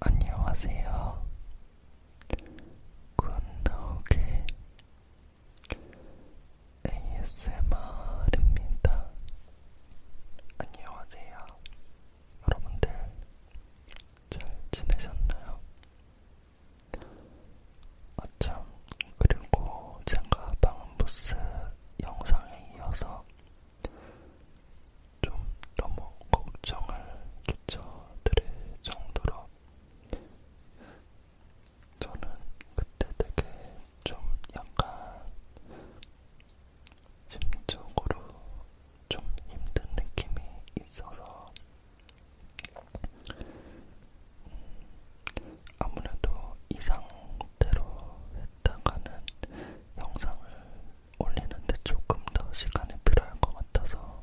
안녕하세요. 굿노게 ASMR입니다. 안녕하세요. 여러분들 잘 지내셨나요? 아참, 그리고 제가 방음부스 영상에 이어서 좀 너무 걱정을 끼쳐드릴 정도로 저는 그때 되게 좀 약간 심적으로 좀 힘든 느낌이 있어서 음, 아무래도 이 상태로 했다가는 영상을 올리는데 조금 더 시간이 필요할 것 같아서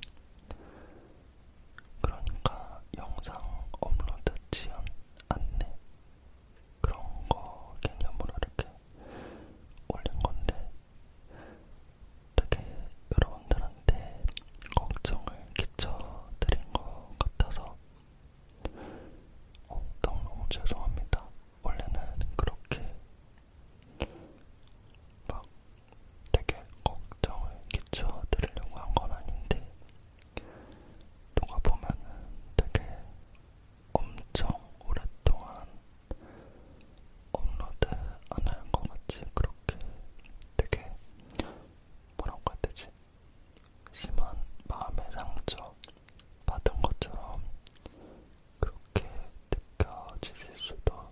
그러니까 영상 업로드 지연 안내 그런 거 개념으로 이렇게 올린 건데 되게 여러분들한테 걱정을 끼쳐드린 것 같아서 어, 너무너무 죄송합니다. 원래는 그렇게 막 되게 걱정을 끼쳐드리려고 한 건 아닌데 누가 보면은 되게 엄청 오랫동안 업로드 안할것 같이 그렇게 되게 뭐라고 해야 되지? 심한 마음의 상처 받은 것처럼 그렇게 느껴지실 수도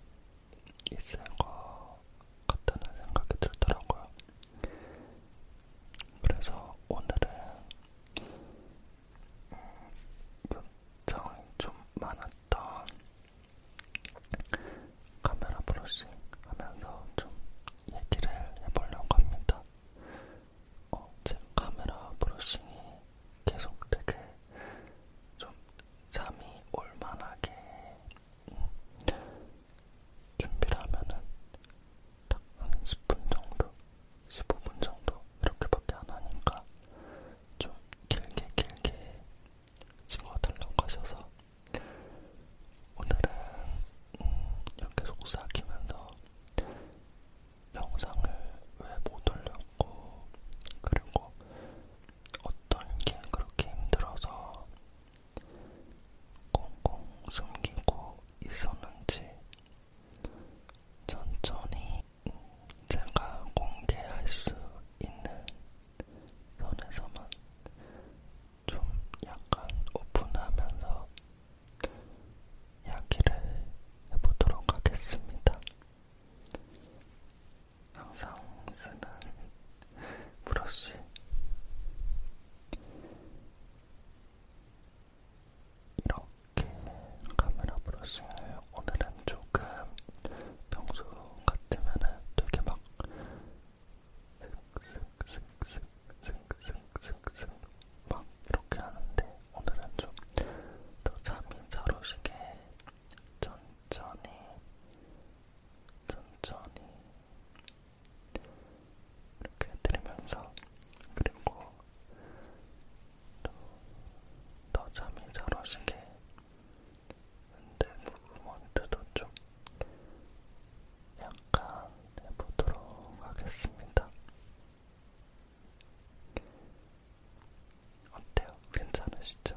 있을 것 같다는 생각이 들더라고요. 그래서 오늘은 음, 요청이 좀 많았던 카메라 브러싱 하면서 좀 얘기를 해보려고 합니다. 어, 제 카메라 브러싱이 계속 되게 좀 잠이 올만하게 음, 준비를 하면은 딱 한 10분 정도, 15분 정도 이렇게밖에 안 하니까 좀 길게 길게 찍어달라고 하셔서 오늘은 음, 이렇게 속삭이면서 영상을 왜 못 올렸고, 그리고 어떤 게 그렇게 힘들어서 꽁꽁 숨기고 있었는지 천천히 제가 공개할 수 있는 선에서만 좀 약간 오픈하면서 이야기를 해보도록 하겠습니다. 항상 쓰는 브러쉬 이렇게 카메라 브러싱을 오늘은 조금 평소 같으면은 되게 막 슥슥슥슥슥슥슥슥 막 이렇게 하는데 오늘은 좀 더 잠이 잘 오시게 천천히 천천히 이렇게 해드리면서 그리고 또 더 잠이 잘 오시게 근데 무브먼트도 좀 약간 해보도록 하겠습니다. 어때요? 괜찮으시죠?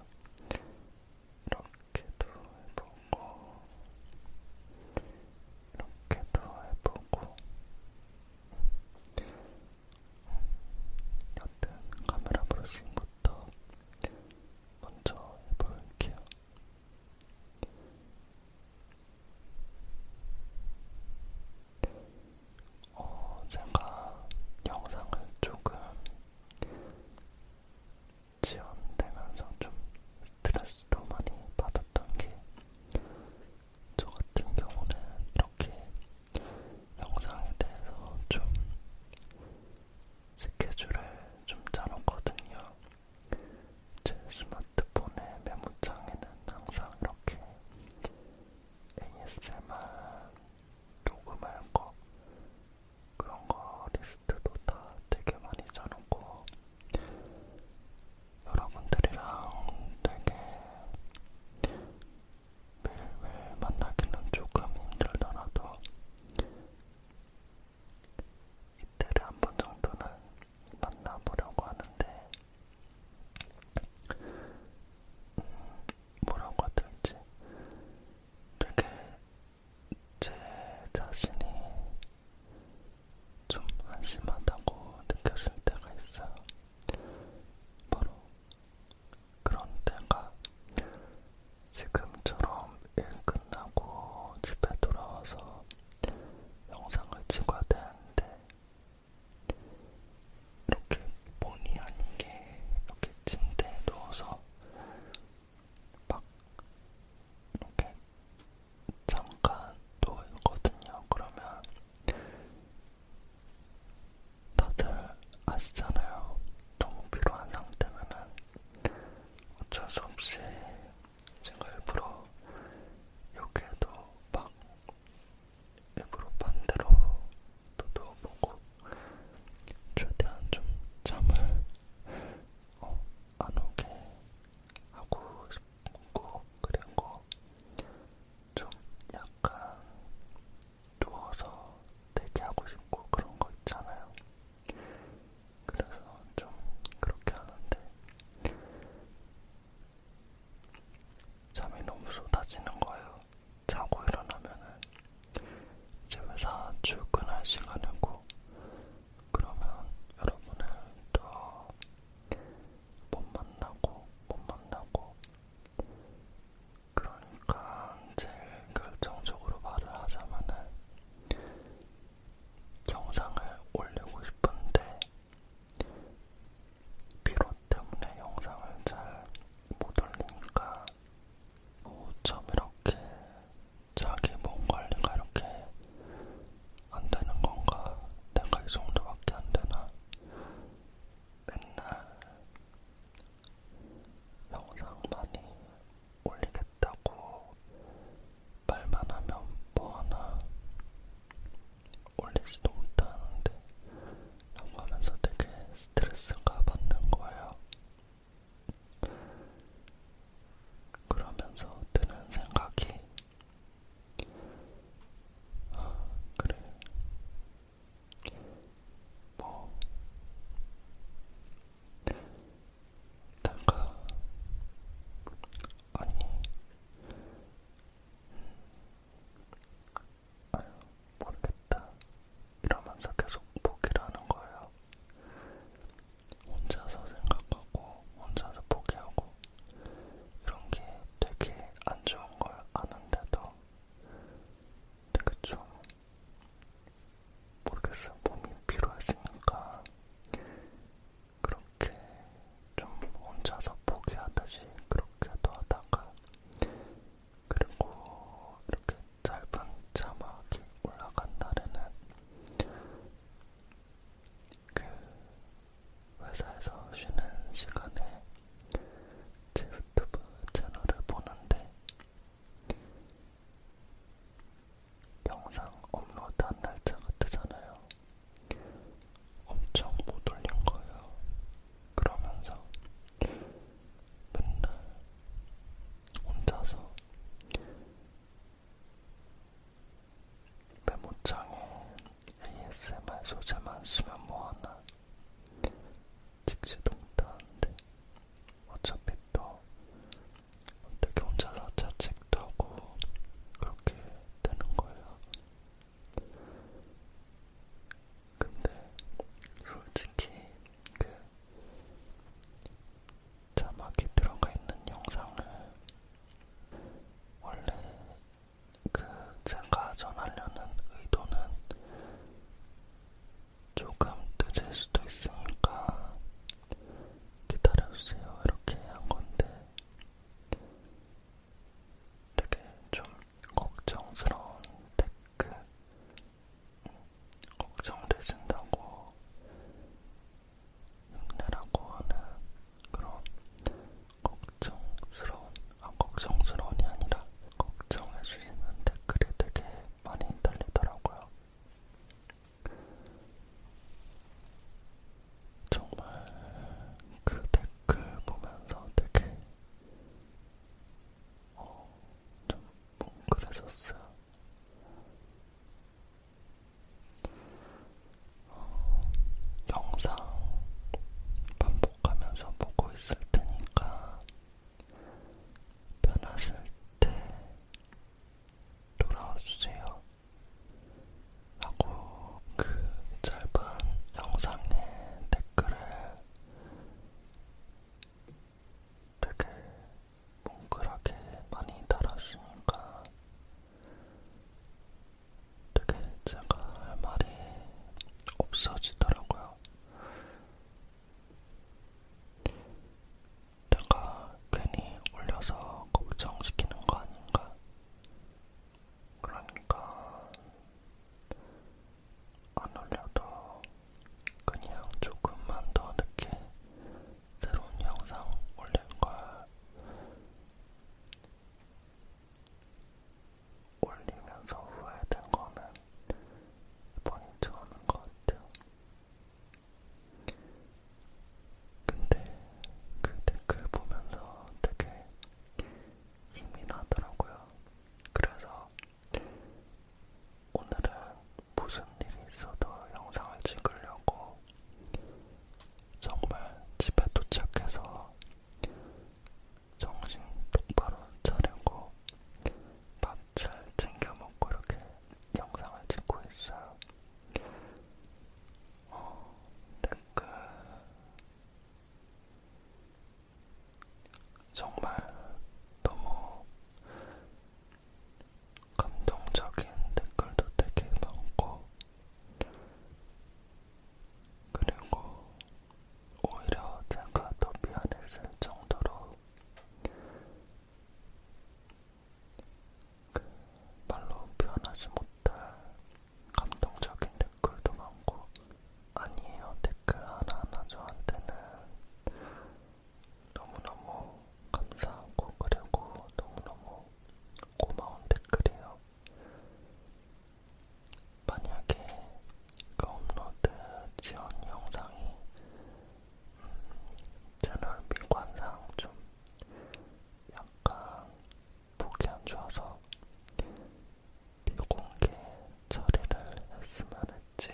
이렇게도 해보고, 이렇게도 해보고, 여튼 카메라 보시는 것도 먼저 해볼게요. 이렇게 어, 제가 영상을 조금 지연되면서 좀 스트레스도 많이 받았던 게 저 같은 경우는 이렇게 영상에 대해서 좀 스케줄을 좀 짜놓거든요. 제 스마트폰의 메모장에는 항상 이렇게 ASMR 녹음할 거 그런 거 리스트도 다 되게 많이 짜놓고 여러분들이랑 되게 매일매일 만나기는 조금 힘들더라도 이틀에 한번 정도는 만나보려고 하는데 음, 뭐라고 해야 될지 되게 제 자신이 좀 한심하다고 느껴질 때가 있어요. 바로 그런 때가 지금처럼 일 끝나고 집에 돌아와서 영상을 찍어야 되는데 이렇게 본의 아니게 이렇게 침대에 누워서 막 이렇게 잠깐 누워 있거든요. 그러면 다들 아시잖아요. 너무 피로한 상태면은 어쩔 수 없이 제가 일부러 여기에도 막 일부러 반대로도 누워보고 최대한 좀 잠을 어, 안 오게 하고 싶고 그리고 좀 약간 누워서 대기하고 싶고 그런 거 있잖아요. 그래서 좀 그렇게 하는데 잠이 너무 쏟아지는 거예요. 자고 일어나면은 이제 회사 출근할 시간이고 그러면 여러분을 더못 만나고 못 만나고 그러니까 제일 결정적으로 말을 하자면은 영상을 올리고 싶은데 피로 때문에 영상을 잘 못 올리니까 어, 참 이렇게 자기 몸 관리가 이렇게 안 되는 건가? 내가 이 정도밖에 안 되나? 맨날 영상 많이 올리겠다고 말만 하면 뭐하나 올리지도 못하는데 라고 하면서 되게 스트레스가 받는 거예요. 그러면서 드는 생각이 아, 그래. 뭐 내가 아니 아유, 모르겠다. 이러면서 계속 포기라는 거예요. 혼자서 생각하고, 혼자서 포기하고, 이런 게 되게 안 좋은 걸 아는데도 되게 좀, 모르겠어요. 몸이 피로했으니까 그런 이렇게 좀 혼자서 포기하듯이 그렇게도 하다가 그리고 이렇게 짧은 자막이 올라간 날에는 그 회사에서 쉬는 시간에 제 유튜브 채널을 보는데 영상 업로드한 날짜가 뜨잖아요. 엄청 못 올린 거예요. 그러면서 맨날 혼자서 메모장에 ASMR 소재만 쓰면 뭐하나 직시동탄인데 어차피 또 어떻게 혼자서 자책도 하고 그렇게 되는 거예요. 근데 솔직히 그 자막이 들어가 있는 영상을 원래 그 제가 전하려는 의도는 조금 늦을 수도 있으니까 기다려주세요 이렇게 한 건데 되게 좀 걱정스러운 댓글, 음, 걱정되신다고 힘내라고 하는 그런 걱정스러운, 아, 걱정스러운이 아니라 걱정해주시는 댓글이 되게 많이 달리더라고요. 정말 그 댓글 보면서 되게 어, 좀 뭉클해졌어요. 어, 영상 반복하면서 보고 있을 테니까 변하실 때 돌아와 주세요. 하고 그 짧은 영상의 댓글에 되게 뭉클하게 많이 달아주니까 되게 제가 할 말이 없어지더라고요. 내가 괜히 올려서 걱정시키는 거 아닌가 그러니까 안 올려도 그냥 조금만 더 늦게 새로운 영상 올리는 걸 올리면서 후회된 거는 이번이 처음인 것 같아요. 근데 그 댓글 보면서 되게 힘이 나더라고요. 그래서 오늘은 무슨 일이 있어도 영상을 찍으려고 정말 집에 도착해서 정신 똑바로 차리고 밥 잘 챙겨 먹고 이렇게 영상을 찍고 있어요. 어, 댓글 정말 너무 감동적인 댓글도 되게 많고, 그리고 오히려 제가 더 미안해질 정도로 그 말로 표현하지 못할 감동적인 댓글도 많고 아니에요 댓글 하나하나 저한테는 너무너무 감사하고 그리고 너무너무 고마운 댓글이에요. 만약에 그 업로드 지원 영상이 음, 채널 미관상 좀 약간 목이 안 좋아서 비공개 처리를 했으면 했지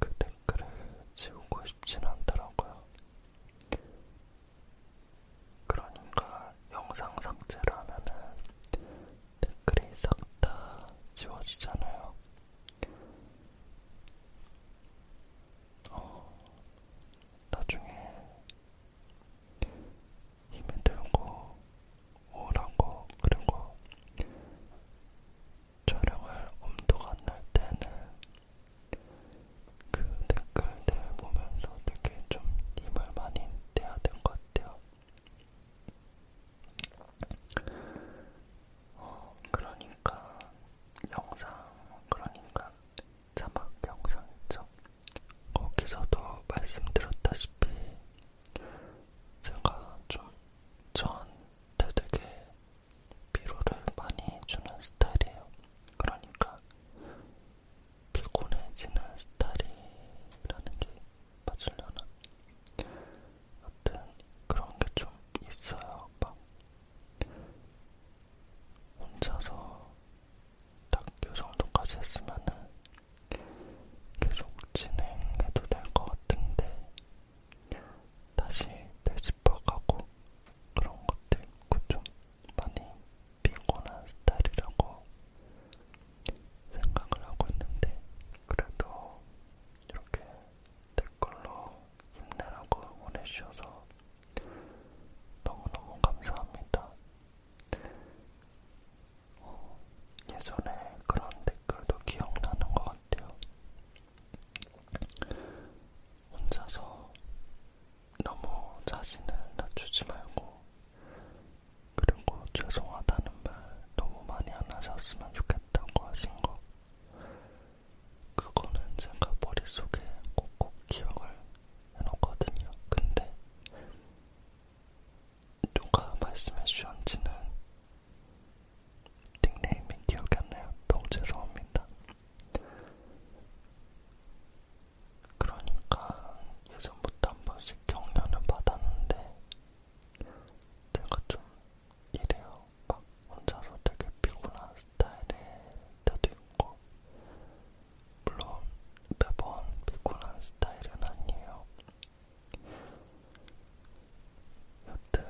그 댓글을 지우고 싶진 않더라고요. 그러니까 영상 삭제를 하면은 댓글이 싹 다 지워지잖아요. 어, 나중에 힘이 드는 거, 우울한 거, 그리고 촬영을 엄두가 안날 때는 그 댓글들 보면서 되게 좀 힘을 많이 내야 될것 같아요. 어, 그러니까 영상, 그러니까 자막 영상 있죠? 거기서도 말씀드렸다시피 제가 좀 저한테 되게 피로를 많이 주는 스타일이에요. 그러니까 피곤해지는 스타일이라는 게 맞으려나? 여튼 그런 게 좀 있어요. 막 혼자서 딱요 정도까지 했으면은 계속 진행해도 될 것 같은데 다시 되짚어가고 그런 것도 있고 좀 많이 피곤한 스타일이라고 생각을 하고 있는데 그래도 이렇게 댓글로 힘내라고 보내주셔서 너무너무 감사합니다. 어, 예전에 그런 댓글도 기억나는 것 같아요. 혼자서 너무 자신을 낮추지 말고, 그리고 죄송하다는 말 너무 많이 안 하셨으면 좋겠다고 하신 거. 그거는 제가 머릿속에 꼭꼭 기억을 해놓거든요. 근데 누가 말씀해 주셨는지는 닉네임이 기억이 안 나요. 너무 죄송합니다. 그러니까 예전부터 한 번씩 격려는 받았는데 제가 좀 이래요. 막 혼자서 되게 피곤한 스타일일 때도 있고 물론 매번 피곤한 스타일은 아니에요. 여튼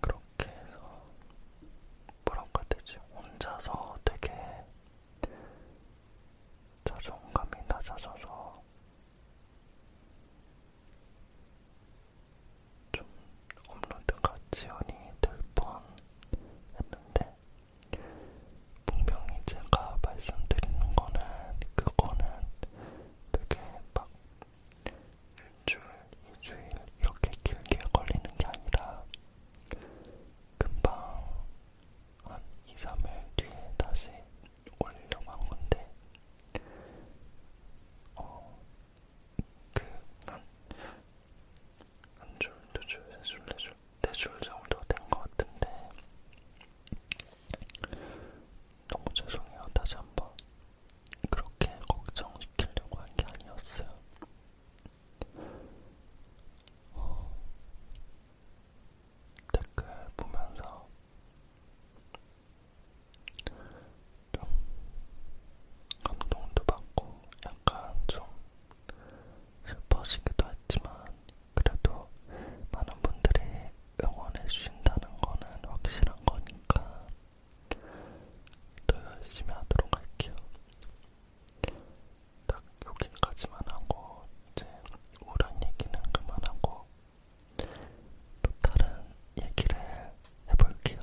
그렇게 해서 뭐라고 해야 되지? 혼자서 되게 자존감이 낮아져서 좀 업로드가 지연이 될 뻔 했는데 분명히 제가 말씀드리는 거는 그거는 되게 막 일주일, 이주일 이렇게 길게 걸리는 게 아니라 금방 한 2, 3일 뒤에 다시 올리려고 한 건데 어, 그, 난한 줄, 두 줄, 세 줄, 네 줄, 네 줄 정도 된 것 같은데 너무 죄송해요. 다시 한번 그렇게 걱정시키려고 한 게 아니었어요. 어, 댓글 보면서 좀 감동도 받고 약간 좀 슬퍼지기도 했지만 그래도 많은 분들이 응원해주신다는 거는 확실한 거니까 더 열심히 하도록 할게요. 딱 여기까지만 하고 이제 우울한 얘기는 그만하고 또 다른 얘기를 해볼게요.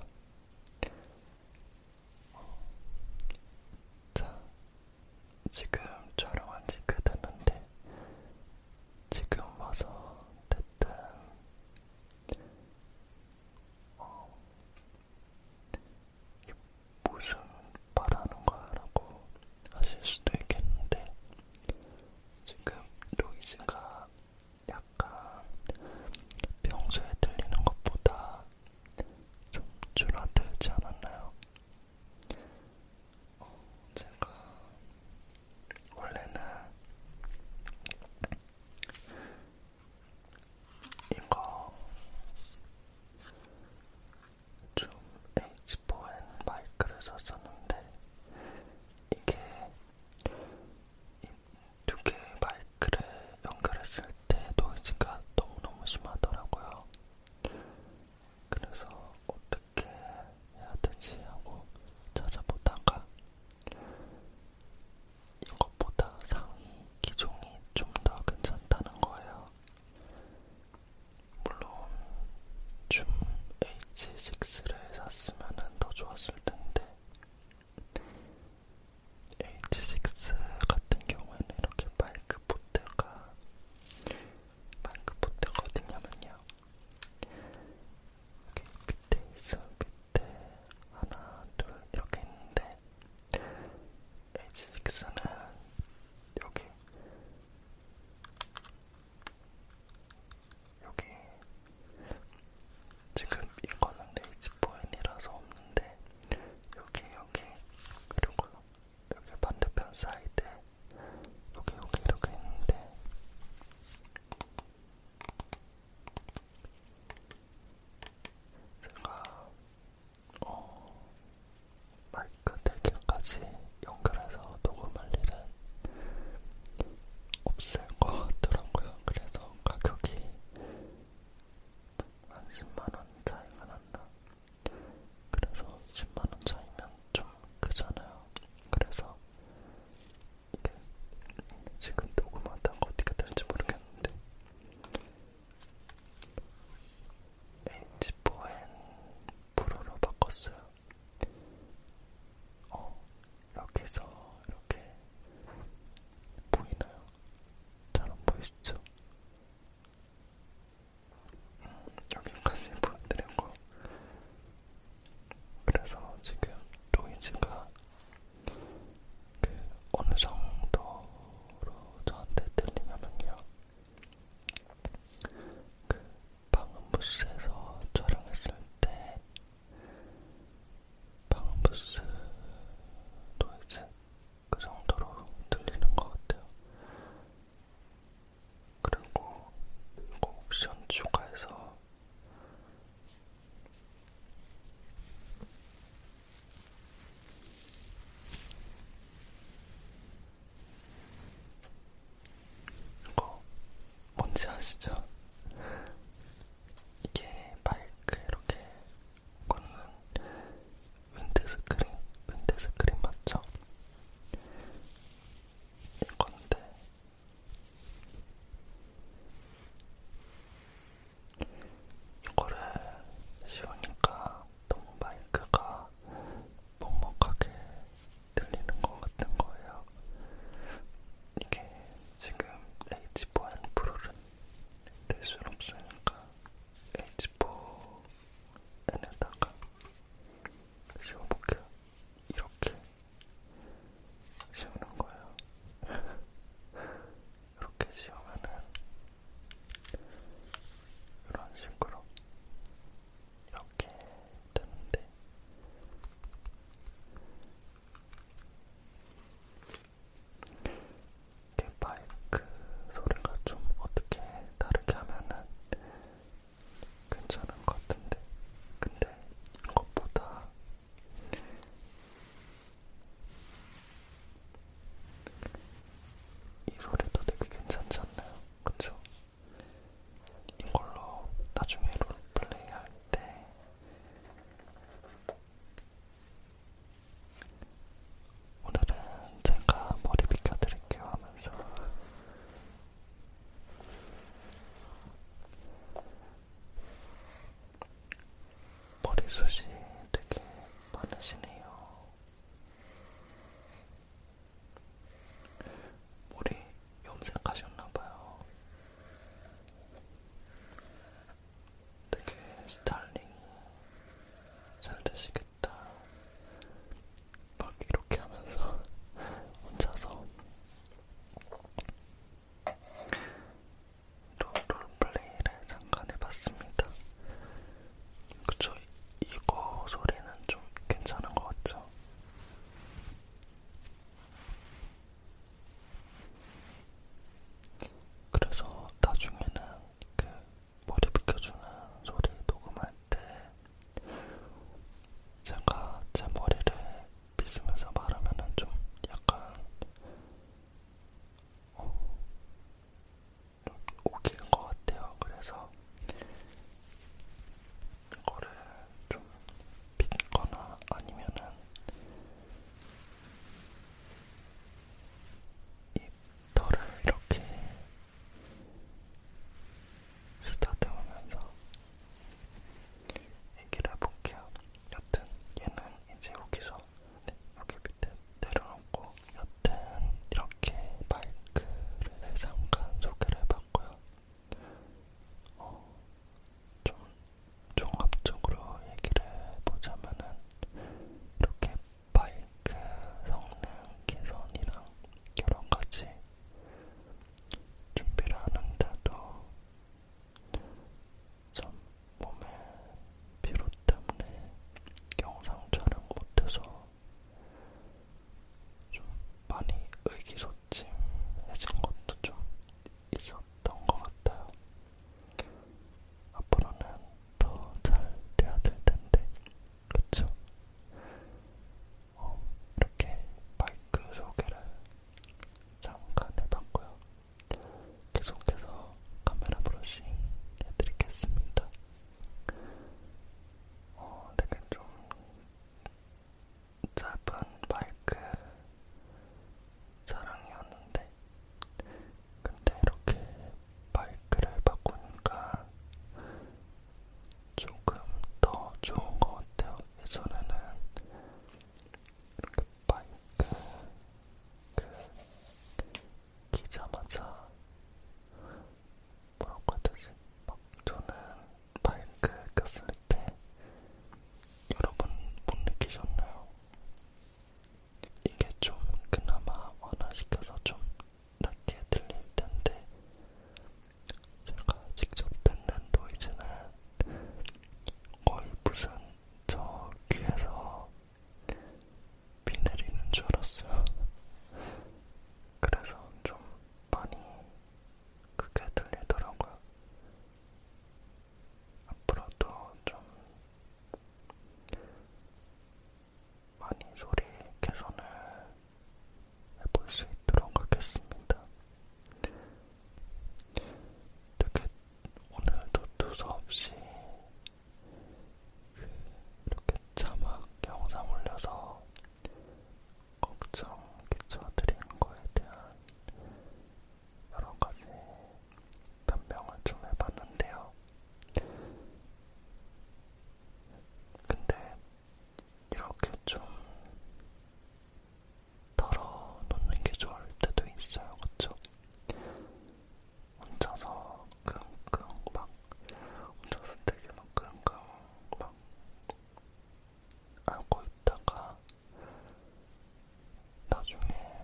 어, 자, 지금 촬영한 지꽤 됐는데 지금 와서 대뜸 어, 이게 무슨 말하는 거야라고 하실 수도 있겠는데 지금 노이즈가 약간 평소에 들리는 것보다 뭔가 좀 줄어들지 않았나요? 어, 제가 원래는 이거 좀 H4N 마이크를 썼었는데 이게 이두개 마이크를 연결했을 그때 노이즈가 너무너무 심하더라고요. 그래서 어떻게 해야 되지 하고 찾아보다가 이것보다 상위 기종이 좀 더 괜찮다는 거예요. 물론 줌 H6를 샀으면 더 좋았을 텐데 H6 같은 경우에는 이렇게 마이크 포트가 마이크 포트가 어디냐면요 이렇게 밑에 있어 밑에 하나 둘 이렇게 있는데 H6는 여기 여기 지금 이거는 H4N이라서 없는데 여기 여기 그리고 여기 반대편 사이드 여기 여기 이렇게 있는데 제가 어 마이크 대기까지 네 연결해서 녹음할 일은 없을 것 같더라고요. 그래서 가격이 한 10만원 차이가 난다. 그래서 10만원 차이면 좀 크잖아요. 그래서 이게 지금 녹음하다가 어떻게 될지 모르겠는데 H4N 프로로 바꿨어요. 어, 여기서 이렇게 보이나요? 잘 안 보이시죠? 여기까지 보여드리고 그래서 지금 로이즈가 그 어느 정도로 저한테 들리냐면요 그 방음부스에서 촬영했을 때 방음부스 노이즈 그 정도로 들리는 것 같아요. 그리고 이거 옵션 추가해서 이거 뭔지 아시죠? 이게 마이크 이렇게 꽂는 윈드스크린, 윈드스크린 맞죠? 이건데 이거를 씌우니까 너무 마이크가 먹먹하게 들리는 것 같은 거예요. 이게 지금 H4N 프로를 뜰 수는 없으니까 H4N에다가 씌워볼게요. 이렇게 씌우는 거예요. 이렇게 씌우면은 이런 식으로 이렇게 되는데 이게 마이크 소리가 좀 어떻게 다르게 하면은 괜찮은 것 같은데 근데 이것보다 이 소리도 되게 괜찮지 않나요? 그쵸? 이걸로 나중에 롤플레이 할때 오늘은 제가 머리 빗겨드릴게요 하면서 머리숱이 되게 많으시네요. 머리 염색하셨나봐요. 되게 스타일링 잘 되시겠다. 막 이렇게 하면서 혼자서 롤, 롤플레이를 잠깐 해봤습니다. 그쵸? 이거 소리는 좀 괜찮은 것 같죠? 그래서 나중에는 그 머리 빗겨주는 소리 녹음할 때 제가 제 머리를 빗으면서 말하면은 좀 약간 어, 좀 웃기는 것 같아요. 그래서 이거를 좀 빗거나 아니면은 이 털을 이렇게 쓰다듬으면서 얘기를 해볼게요. 여튼 얘는 이제 여기서 네, 여기 밑에 내려놓고 여튼 이렇게 마이크를 잠깐 소개를 해봤고요. 어, 좀 종합적으로 얘기를 해보자면은 이렇게 마이크 성능 개선이랑 여러가지 준비를 하는데도 참 몸에 피로 때문에 영상 촬영 못해서 좀 많이 의기소침해진 것도 좀 있었던 것 같아요. 앞으로는 더 잘 돼야 될 텐데, 그쵸? 어, 이렇게 마이크 소개를 잠깐 해봤고요. 계속해서 카메라 브러싱 해드리겠습니다. 어, 되게 좀 짧은 마이크 사랑이었는데 근데 이렇게 마이크를 바꾸니까 조금 더 좋은 것 같아요. 예전에는 이렇게 마이크 그 키자마자 뭐라고 해야 되지? 막 저는 마이크 꼈을 때 여러분 못 느끼셨나요? 이게 좀 그나마 완화시켜서 좀 낮게 들릴 텐데 제가 직접 듣는 노이즈는 거의 무슨 저 귀에서 비 내리는 줄 알았어요. 그래서 좀 많이 크게 들리더라고요. 앞으로도 좀 많이 소리 개선을 해볼 수 있도록 하겠습니다. 되게 오늘도 두서없이 그 이렇게 자막 영상 올려서 걱정 끼쳐드린 거에 대한 여러 가지 변명을 좀 해봤는데요. 근데 이렇게 좀 덜어놓는 게 좋을 때도 있어요, 그쵸? 혼자서 끙끙 막 혼자서 되게 막 끙끙 막 알고 있다가 나중에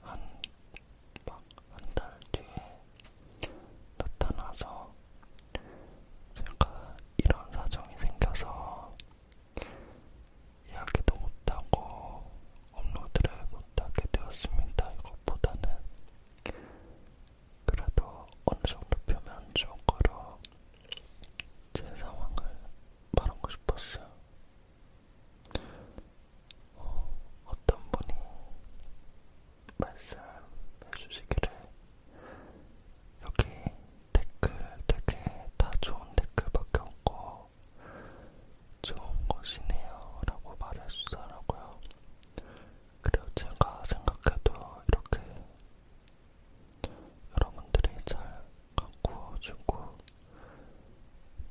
한막한 달 뒤에 나타나서 제가 이런 사정이 생겨서 이야기도 못하고 업로드를 못하게 되었습니다. 이것보다는 그래도 어느 정도 표면적으로 제 상황을 말하고 싶었어요. 어, 어떤 분이 말씀해주시기를 여기 댓글 되게 다 좋은 댓글밖에 없고 좋은 곳이네요 라고 말해주더라고요. 그리고 제가 생각해도 이렇게 여러분들이 잘 갖고 주고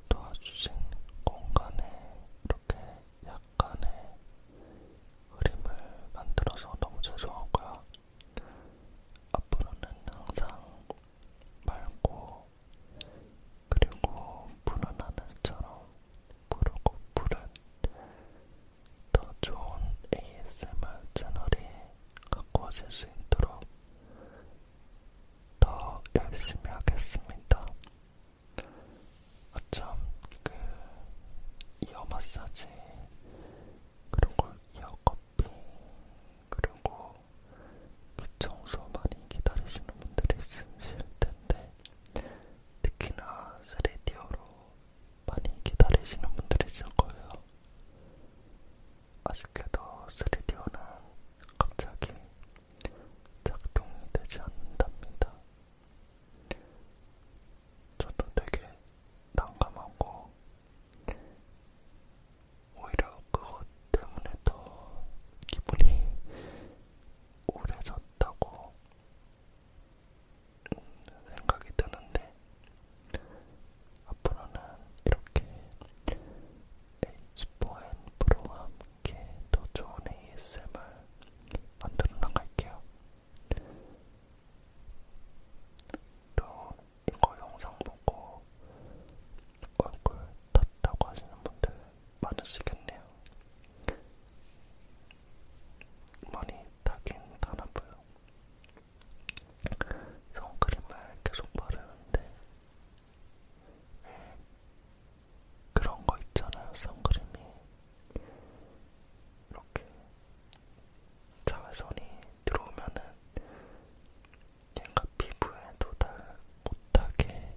도와주신 공간에 이렇게 약간의 흐림을 만들어서 너무 죄송하고요. 앞으로는 항상 맑고 그리고 푸른 하늘처럼 푸르고 푸른 더 좋은 ASMR 채널이 갖고 오실 수 있도록 더 열심히 하겠습니다. 아참, 그, 이어 마사지, 그리고 이어 커피, 그리고 귀 그 청소 많이 기다리시는 분들이 있으실 텐데, 특히나 스레디오로 많이 기다리시는 분들이 있을 거예요. 아쉽게도 스레디오는 갑자기 작동이 되지 않는답니다. 저도 되게 난감하고 오히려 그것 때문에 더 기분이 우울해졌다고 생각이 드는데 앞으로는 이렇게 H4N 프로와 함께 더 좋은 ASMR 만들어 나갈게요. 또 이거 영상 보고 얼굴 탔다고 하시는 분들 많으시겠네요. 많이 타긴 타나봐요. 선크림을 계속 바르는데 그런 거 있잖아요. 선크림이 이렇게 자외선이 들어오면은 얘가 피부에 도달 못하게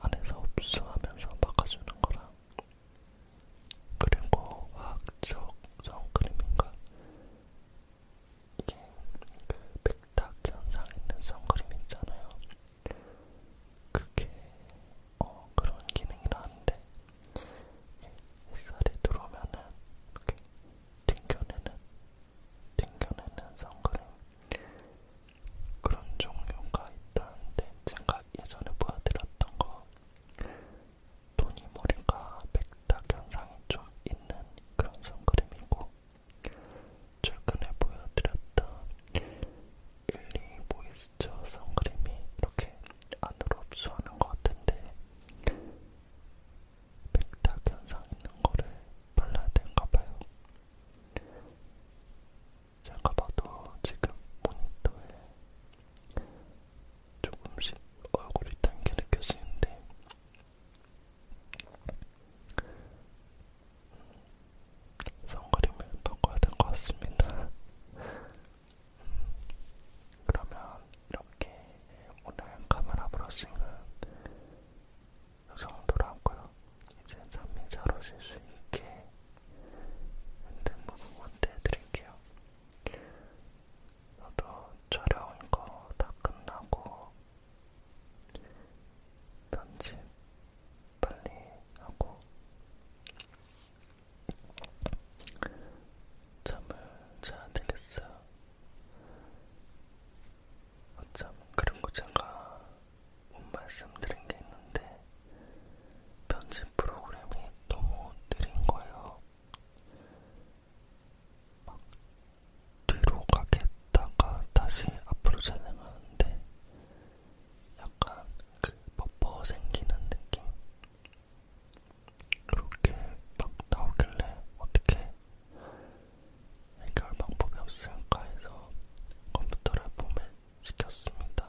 안에서 흡수하면서 막아주는 거랑 그리고 화학적 선크림인가 이게 그 백탁 현상에 있는 선크림 있잖아요. 그게 어 그런 기능이라는데 햇살이 들어오면은 이렇게 튕겨내는 튕겨내는 선크림 그런 종류가 있다는데 제가 예전에 보여드렸던 거 토니 모리가 백탁 현상이 좀 있는 그런 선크림이고 최근에 보여드렸던 12 모이스처 선크림이 이렇게 안으로 흡수하는 것 같은데 백탁 현상 있는 거를 발라야 되는가 봐요. 제가 봐도 지금 모니터에 조금씩 얼굴이 당겨 느껴지는데 선크림을 바꿔야 될 것 같습니다. 그러면 이렇게 오늘 카메라 브러싱은 이 정도로 하고요. 이제 잠이 잘 오실 수 있게 힘든 부분 원대해드릴게요. 저도 촬영 이거 다 끝나고 편집 빨리 하고 잠을 자야 되겠어요. 어쩜 그리고 제가 못 말씀드린 게 있는데 편집 프로그램이 너무 느린 거예요. 막 뒤로 가겠다가 다시 앞으로 잘려가는데 약간 그 버퍼 생기는 느낌 그렇게 막 나오길래 어떻게 해결 방법이 없을까 해서 컴퓨터를 봄에 시켰습니다.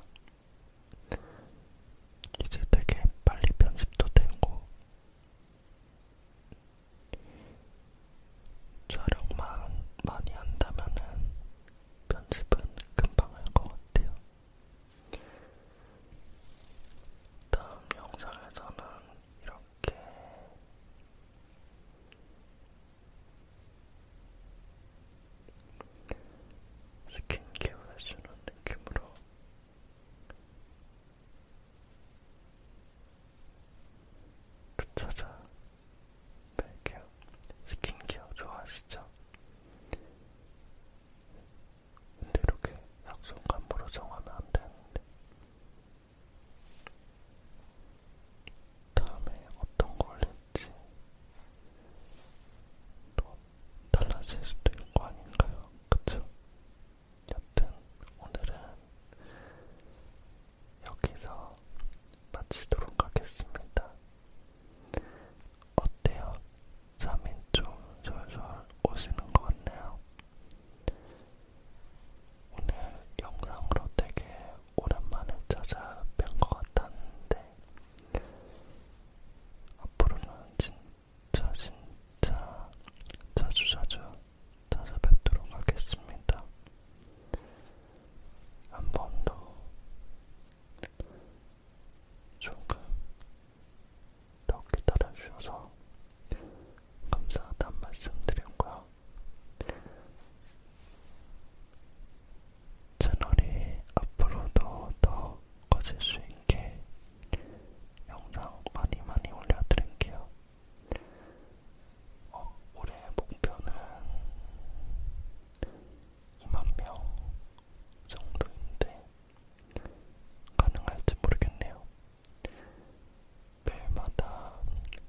이제 되게 빨리 편집도 되고 촬영만 많이 한다면은 편집은 금방 할 것 같아요. 다음 영상에서는 이렇게 스킨케어 해주는 느낌으로 붙여자 뺄게요. 스킨케어 좋아하시죠? 근데 이렇게 약속감으로 정하면 안 되는데. 다음에 어떤 거 올릴지 또 달라질 수도 있는 거 아닌가요? 그쵸? 여튼 오늘은 여기서 마치도록 하겠습니다. 어때요? 잠이 좀 졸졸 오시는 것 같네요. 오늘 영상으로 되게 오랜만에 찾아뵌 것 같았는데 앞으로는 진짜 진짜 자주자주 자주 찾아뵙도록 하겠습니다. 한 번 더 조금 더 기다려주셔서 감사하다는 말씀 드렸고요. 채널이 앞으로도 더 커질 수 있게 영상 많이 많이 올려드릴게요. 어, 올해 목표는 2만명 정도인데 가능할지 모르겠네요. 매일마다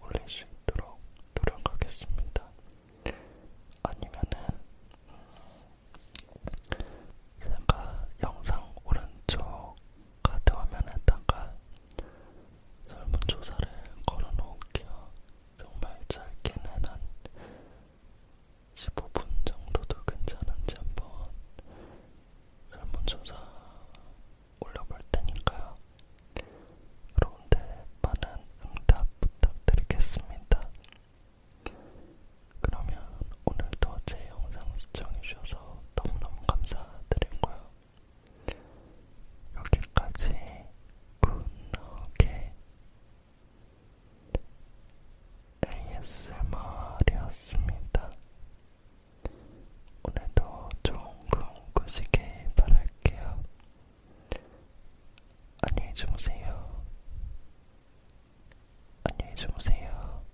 올릴 수 있도록 노력하겠습니다. 아니면은 제가 영상 오른쪽 가드 화면에다가 설문조사를 걸어놓을게요. 정말 짧게는 한 15분 정도도 괜찮은지 한번 설문조사 올려볼 테니까요. 여러분들 많은 응답 부탁드리겠습니다. 그러면 오늘도 제 영상 시청해주셔서 너무너무 감사드리고요. 여기까지 굿노게 ASMR이었습니다. 오늘도 좋은 꿈 꾸시길 바랄게요. 안녕히 주무세요. 안녕히 주무세요.